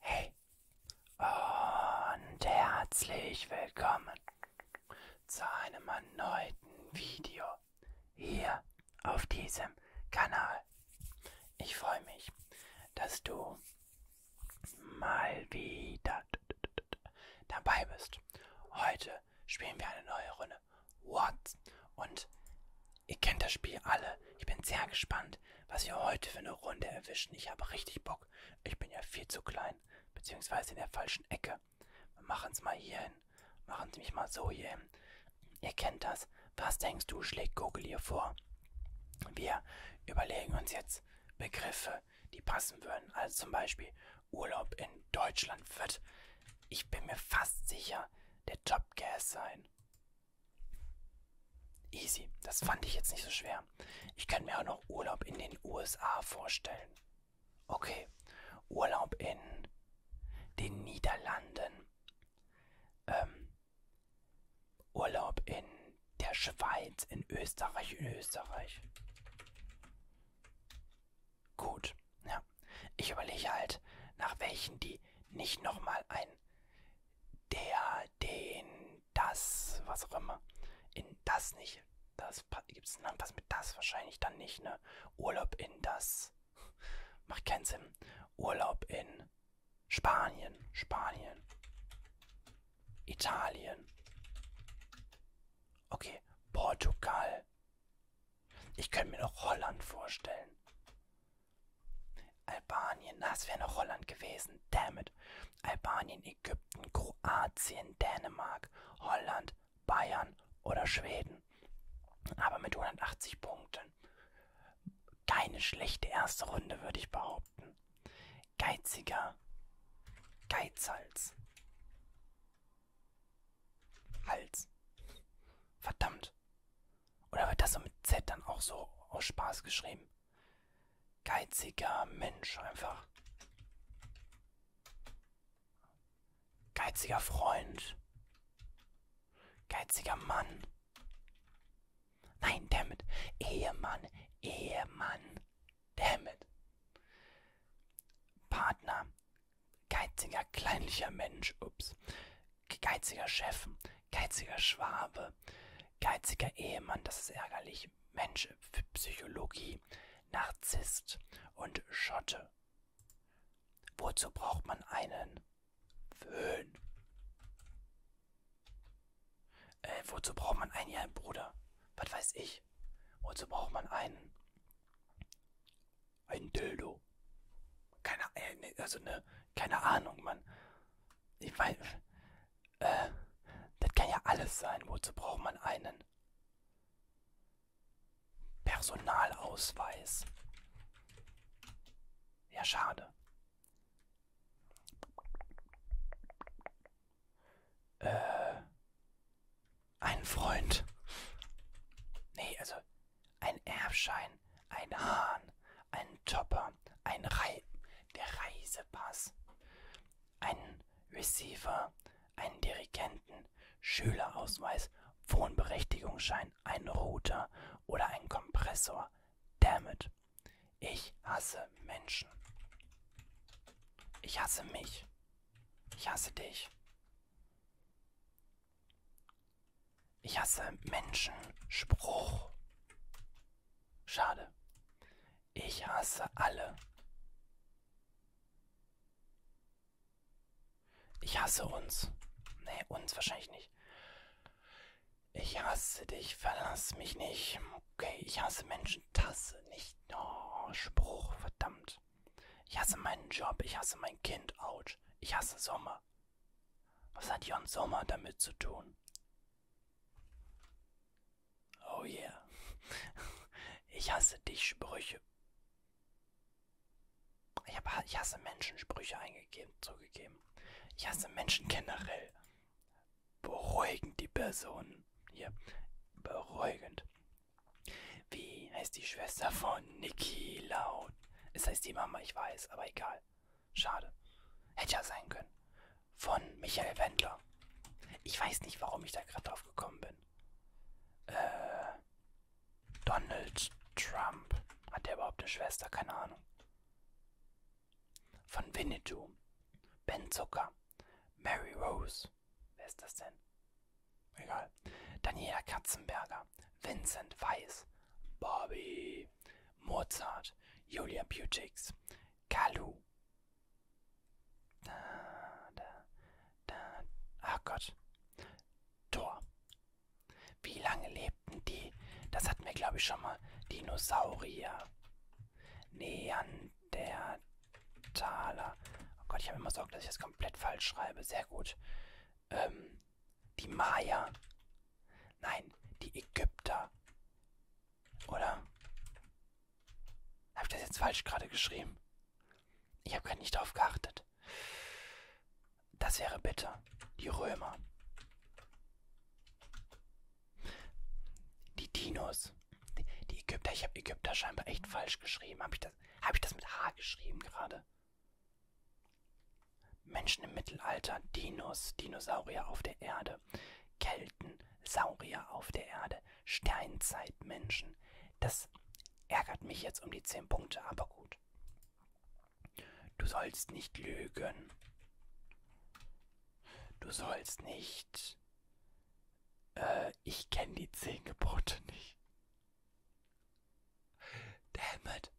Hey und herzlich willkommen zu einem erneuten Video hier auf diesem Kanal. Ich freue mich, dass du mal wieder dabei bist. Heute spielen wir eine neue Runde meine, what? Und ihr kennt das Spiel alle. Ich bin sehr gespannt, was wir heute für eine Runde erwischen. Ich habe richtig Bock. Ich bin ja viel zu klein, beziehungsweise in der falschen Ecke. Wir machen es mal hier hin. Machen es mich mal so hier hin. Ihr kennt das. Was denkst du, schlägt Google hier vor? Wir überlegen uns jetzt Begriffe, die passen würden. Also zum Beispiel Urlaub in Deutschland wird, ich bin mir fast sicher, der Top Gas sein. Easy, das fand ich jetzt nicht so schwer. Ich kann mir auch noch Urlaub in den USA vorstellen. Okay, Urlaub in den Niederlanden. Ähm, Urlaub in der Schweiz, in Österreich, in Österreich. Gut, ja. Ich überlege halt, nach welchen die nicht nochmal ein der, den, das, was auch immer. In das nicht. Das gibt es was mit das wahrscheinlich dann nicht, ne? Urlaub in das. Macht keinen Sinn. Urlaub in Spanien. Spanien. Italien. Okay, Portugal. Ich könnte mir noch Holland vorstellen. Albanien, das wäre noch Holland gewesen. Damn it. Albanien, Ägypten, Kroatien, Dänemark, Holland, Bayern oder Schweden. Aber mit 180 Punkten. Keine schlechte erste Runde, würde ich behaupten. Geiziger Geizhals. Hals. Verdammt. Oder wird das so mit Z dann auch so aus Spaß geschrieben? Geiziger Mensch einfach. Geiziger Freund. Geiziger Mann. Nein, damit. Ehemann. Ehemann. Damit. Partner geiziger, kleinlicher Mensch, ups, geiziger Chef, geiziger Schwabe, geiziger Ehemann, das ist ärgerlich, Mensch, Psychologie, Narzisst und Schotte. Wozu braucht man einen Föhn? Äh, wozu braucht man einen, ja, Bruder? Was weiß ich? Wozu braucht man einen? Ein Dildo. Keine, äh, ne, also ne, keine Ahnung, Mann. Ich weiß, äh, das kann ja alles sein. Wozu braucht man einen? Personalausweis. Ja, schade. Äh, einen Freund. Nee, also ein Erbschein, ein Hahn, ein Topper, ein Rei der Reisepass, ein Receiver, einen Dirigenten, Schülerausweis, Wohnberechtigungsschein, ein Router oder ein Kompressor. Dammit. Ich hasse Menschen. Ich hasse mich. Ich hasse dich. Ich hasse Menschenspruch. Schade. Ich hasse alle. Ich hasse uns. Nee, uns wahrscheinlich nicht. Ich hasse dich, verlass mich nicht. Okay, ich hasse Menschen, Tasse, nicht. Oh, Spruch, verdammt. Ich hasse meinen Job, ich hasse mein Kind, ouch. Ich hasse Sommer. Was hat Jon Sommer damit zu tun? Oh yeah. Ich hasse dich, Sprüche. Ich, hab, ich hasse Menschen, Sprüche eingegeben, zugegeben. Ich hasse Menschen generell beruhigend die Person. Hier, beruhigend. Wie heißt die Schwester von Niki laut? Es heißt die Mama, ich weiß, aber egal. Schade. Hätte ja sein können. Von Michael Wendler. Ich weiß nicht, warum ich da gerade drauf gekommen bin. Äh, Donald Trump. Hat der überhaupt eine Schwester? Keine Ahnung. Von Winnetou. Ben Zucker. Mary Rose. Wer ist das denn? Egal. Daniela Katzenberger. Vincent Weiss. Bobby. Mozart. Julia Butix. Kalu. Da, da, da. Ach Gott. Thor. Wie lange lebten die? Das hatten wir, glaube ich, schon mal. Dinosaurier. Neandertaler. Oh Gott, ich habe immer Sorge, dass ich das komplett falsch schreibe. Sehr gut. Ähm, die Maya. Nein, die Ägypter. Oder? Habe ich das jetzt falsch gerade geschrieben? Ich habe gerade nicht darauf geachtet. Das wäre bitter. Die Römer. Die Dinos. Die, die Ägypter. Ich habe Ägypter scheinbar echt falsch geschrieben. Habe ich, das, hab ich das mit H geschrieben gerade? Menschen im Mittelalter. Dinos. Dinosaurier auf der Erde. Kelten. Saurier auf der Erde. Steinzeitmenschen. Das ärgert mich jetzt um die 10 Punkte, aber gut. Du sollst nicht lügen. Du sollst nicht nicht. Äh, ich kenne die zehn Gebote nicht. Damn it.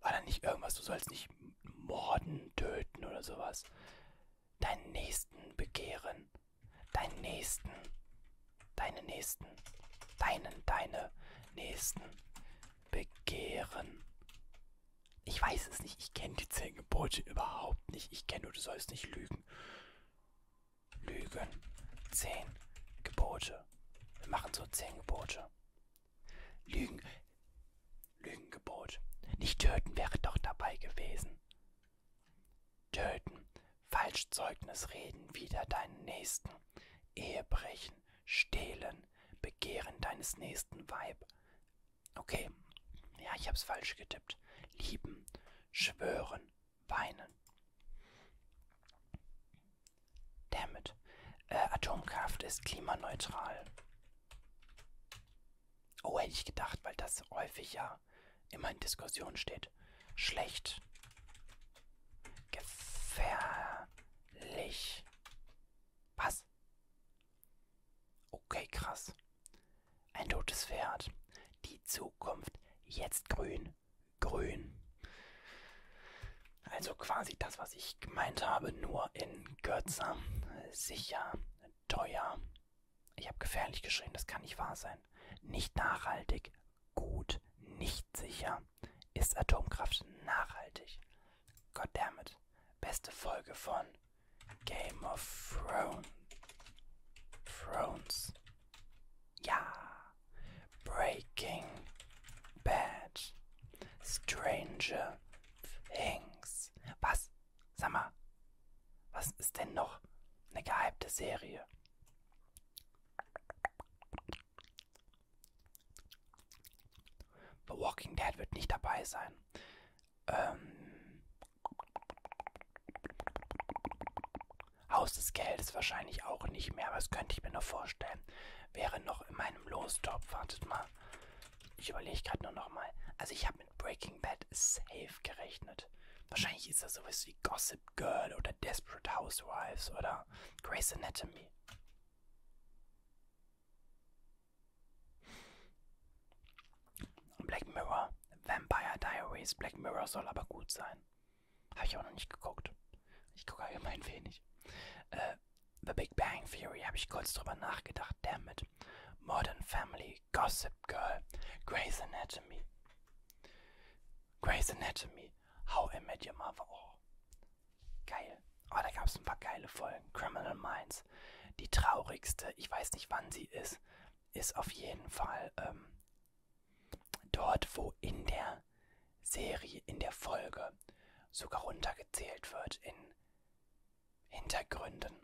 War da nicht irgendwas, du sollst nicht morden, töten oder sowas? Deinen Nächsten begehren. Deinen Nächsten. Deine Nächsten. Deinen, deine Nächsten begehren. Ich weiß es nicht. Ich kenne die zehn Gebote überhaupt nicht. Ich kenne nur, du sollst nicht lügen. Lügen. Zehn Gebote. Wir machen so zehn Gebote. Lügen. Lügengebot. Nicht töten wäre doch dabei gewesen. Töten. Falschzeugnis reden, wider deinen Nächsten. Ehe brechen. Verbrechen, Stehlen, Begehren deines nächsten Weib. Okay, ja, ich hab's falsch getippt. Lieben, schwören, weinen. Damit. Äh, Atomkraft ist klimaneutral. Oh, hätte ich gedacht, weil das häufig ja immer in Diskussion steht. Schlecht. Gefährlich. Was? Okay, krass. Ein totes Pferd. Die Zukunft jetzt grün. Grün. Also quasi das, was ich gemeint habe, nur in kürzer, sicher, teuer. Ich habe gefährlich geschrieben, das kann nicht wahr sein. Nicht nachhaltig, gut, nicht sicher. Ist Atomkraft nachhaltig? Goddammit. Beste Folge von Game of Thrones. Thrones. Ja. Breaking Bad. Stranger Things. Was? Sag mal. Was ist denn noch eine gehypte Serie? The Walking Dead wird nicht dabei sein. Ähm, Haus des Geldes wahrscheinlich auch nicht mehr, aber das könnte ich mir noch vorstellen. Wäre noch in meinem Lostop. Wartet mal. Ich überlege gerade nur noch mal. Also ich habe mit Breaking Bad safe gerechnet. Wahrscheinlich ist das sowas wie Gossip Girl oder Desperate Housewives oder Grey's Anatomy. Black Mirror, Vampire Diaries. Black Mirror soll aber gut sein. Habe ich auch noch nicht geguckt. Ich gucke allgemein wenig. Äh, The Big Bang Theory habe ich kurz drüber nachgedacht. Damn it. Modern Family, Gossip Girl, Grey's Anatomy. Grey's Anatomy, How I Met Your Mother. Oh. Geil. Oh, da gab es ein paar geile Folgen. Criminal Minds. Die traurigste, ich weiß nicht wann sie ist, ist auf jeden Fall ähm, dort, wo in der Serie, in der Folge sogar runtergezählt wird in Hintergründen,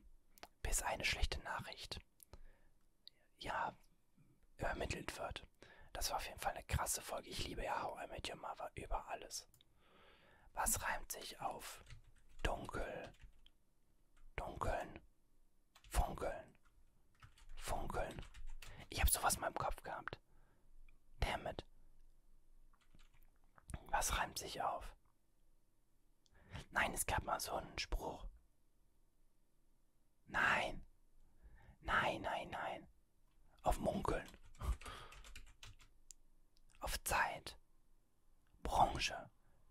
bis eine schlechte Nachricht ja, übermittelt wird. Das war auf jeden Fall eine krasse Folge. Ich liebe ja How I Met Your Mother über alles. Was reimt sich auf dunkel, dunkeln, funkeln, funkeln? Ich habe sowas in meinem Kopf gehabt. Damn it. Was reimt sich auf? Nein, es gab mal so einen Spruch. Nein. Nein, nein, nein. Auf Munkeln. Auf Zeit. Branche.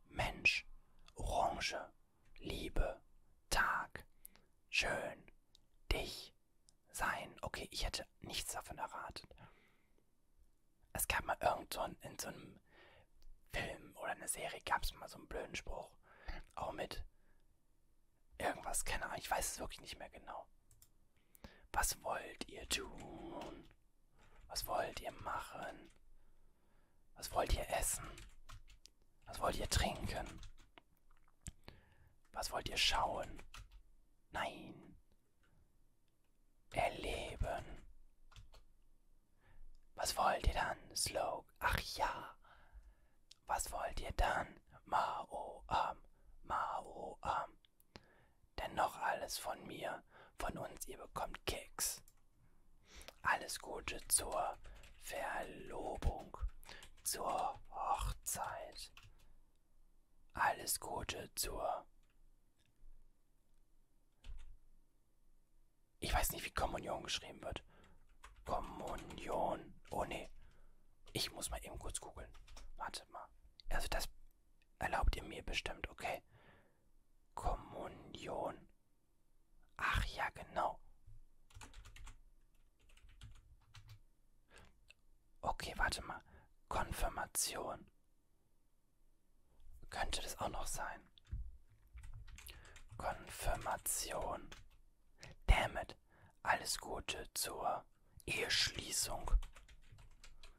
Mensch. Orange. Liebe. Tag. Schön. Dich. Sein. Okay, ich hätte nichts davon erraten. Es gab mal irgend so ein, in so einem Film oder einer Serie gab es mal so einen blöden Spruch. Auch mit Irgendwas, keine Ahnung. Ich weiß es wirklich nicht mehr genau. Was wollt ihr tun? Was wollt ihr machen? Was wollt ihr essen? Was wollt ihr trinken? Was wollt ihr schauen? Nein. Erleben. Was wollt ihr dann? Slow. Ach ja. Was wollt ihr dann? Mao am, Mao am. Denn noch alles von mir, von uns, ihr bekommt Keks. Alles Gute zur Verlobung, zur Hochzeit. Alles Gute zur... Ich weiß nicht, wie Kommunion geschrieben wird. Kommunion. Oh ne. Ich muss mal eben kurz googeln. Wartet mal. Also das erlaubt ihr mir bestimmt, okay? Kommunion. Ach ja, genau. Okay, warte mal. Konfirmation. Könnte das auch noch sein? Konfirmation. Damn it. Alles Gute zur Eheschließung.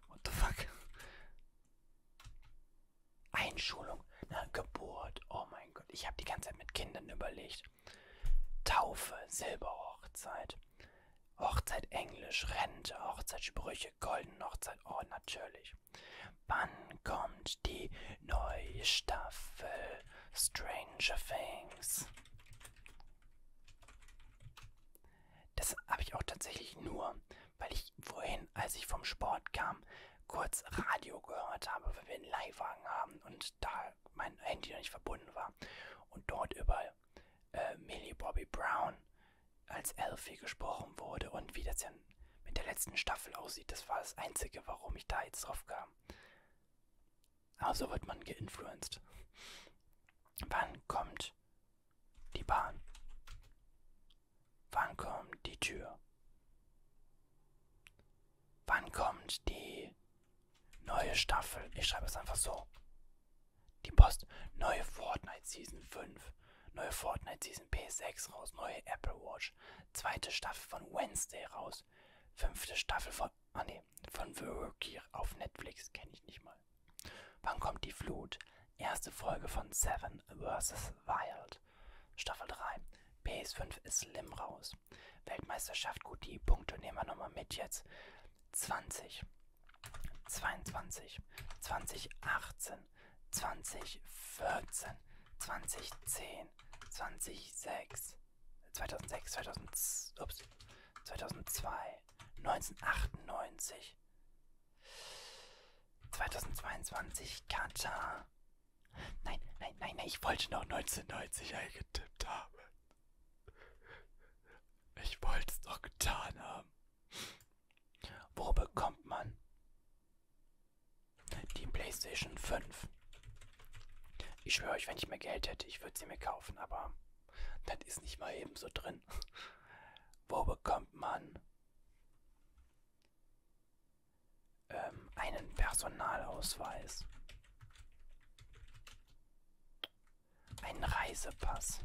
What the fuck? Einschulung. Na, Geburt. Oh mein Gott. Ich habe die ganze Zeit mit Kindern überlegt. Taufe, Silberhochzeit. Hochzeit Englisch, Rente, Hochzeitsprüche, Golden Hochzeit, oh natürlich. Wann kommt die neue Staffel? Stranger Things. Das habe ich auch tatsächlich nur, weil ich vorhin, als ich vom Sport kam, kurz Radio gehört habe, weil wir einen Leihwagen haben und da mein Handy noch nicht verbunden war. Und dort über äh, Millie Bobby Brown als Elfie gesprochen wurde und wie das ja mit der letzten Staffel aussieht. Das war das Einzige, warum ich da jetzt drauf kam. Also wird man geinfluenced. Wann kommt die Bahn? Wann kommt die Tür? Wann kommt die neue Staffel? Ich schreibe es einfach so. Die Post. Neue Fortnite Season 5. Neue Fortnite Season PS6 raus. Neue Apple Watch. Orange. Zweite Staffel von Wednesday raus. Fünfte Staffel von. Ah nee, von The Rookie auf Netflix kenne ich nicht mal. Wann kommt die Flut? Erste Folge von Seven vs. Wild. Staffel 3. PS5 ist slim raus. Weltmeisterschaft, gut, die Punkte nehmen wir nochmal mit jetzt. 20, 22, 2018, 2014, 2010, 2006, 2006, 2000, ups, 2002, 1998, 2022, Katar. Nein, nein, nein, nein, ich wollte noch 1990 eingetippt haben. Ich wollte es doch getan haben. Wo bekommt man die PlayStation 5. Ich schwöre euch, wenn ich mehr Geld hätte, ich würde sie mir kaufen, aber das ist nicht mal eben so drin. Wo bekommt man ähm, einen Personalausweis? Einen Reisepass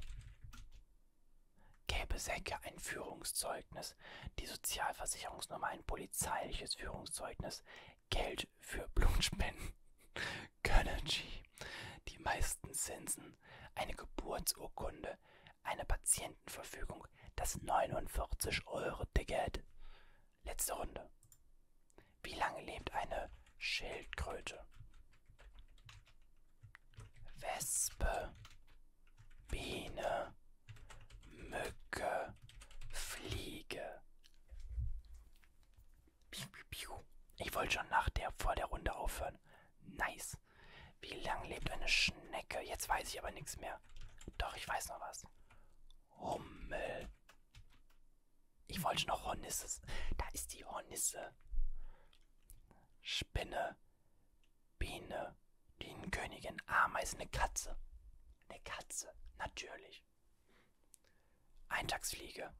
gäbe Säcke ein Führungszeugnis, die Sozialversicherungsnummer ein polizeiliches Führungszeugnis, Geld für Blutspenden, Gönnergy, die meisten Zinsen, eine Geburtsurkunde, eine Patientenverfügung, das 49-Euro-Ticket. Letzte Runde. Wie lange lebt eine Schildkröte? Wespe, Biene, Mücke, Fliege. Piu, piu, piu. Ich wollte schon nach der vor der Runde aufhören. Nice. Wie lang lebt eine Schnecke? Jetzt weiß ich aber nichts mehr. Doch, ich weiß noch was. Hummel. Ich wollte noch Hornisse. Da ist die Hornisse. Spinne. Biene, die Königin, Ameisen, eine Katze. Eine Katze, natürlich. Eintagsfliege.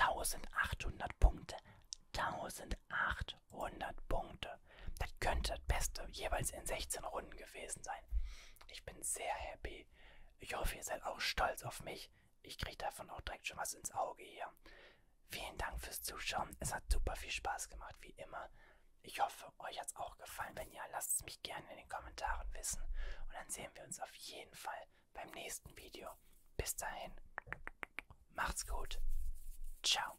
1800 Punkte. 1800 Punkte. Das könnte das Beste jeweils in 16 Runden gewesen sein. Ich bin sehr happy. Ich hoffe, ihr seid auch stolz auf mich. Ich kriege davon auch direkt schon was ins Auge hier. Vielen Dank fürs Zuschauen. Es hat super viel Spaß gemacht, wie immer. Ich hoffe, euch hat es auch gefallen. Wenn ja, lasst es mich gerne in den Kommentaren wissen. Und dann sehen wir uns auf jeden Fall beim nächsten Video. Bis dahin, macht's gut. Ciao.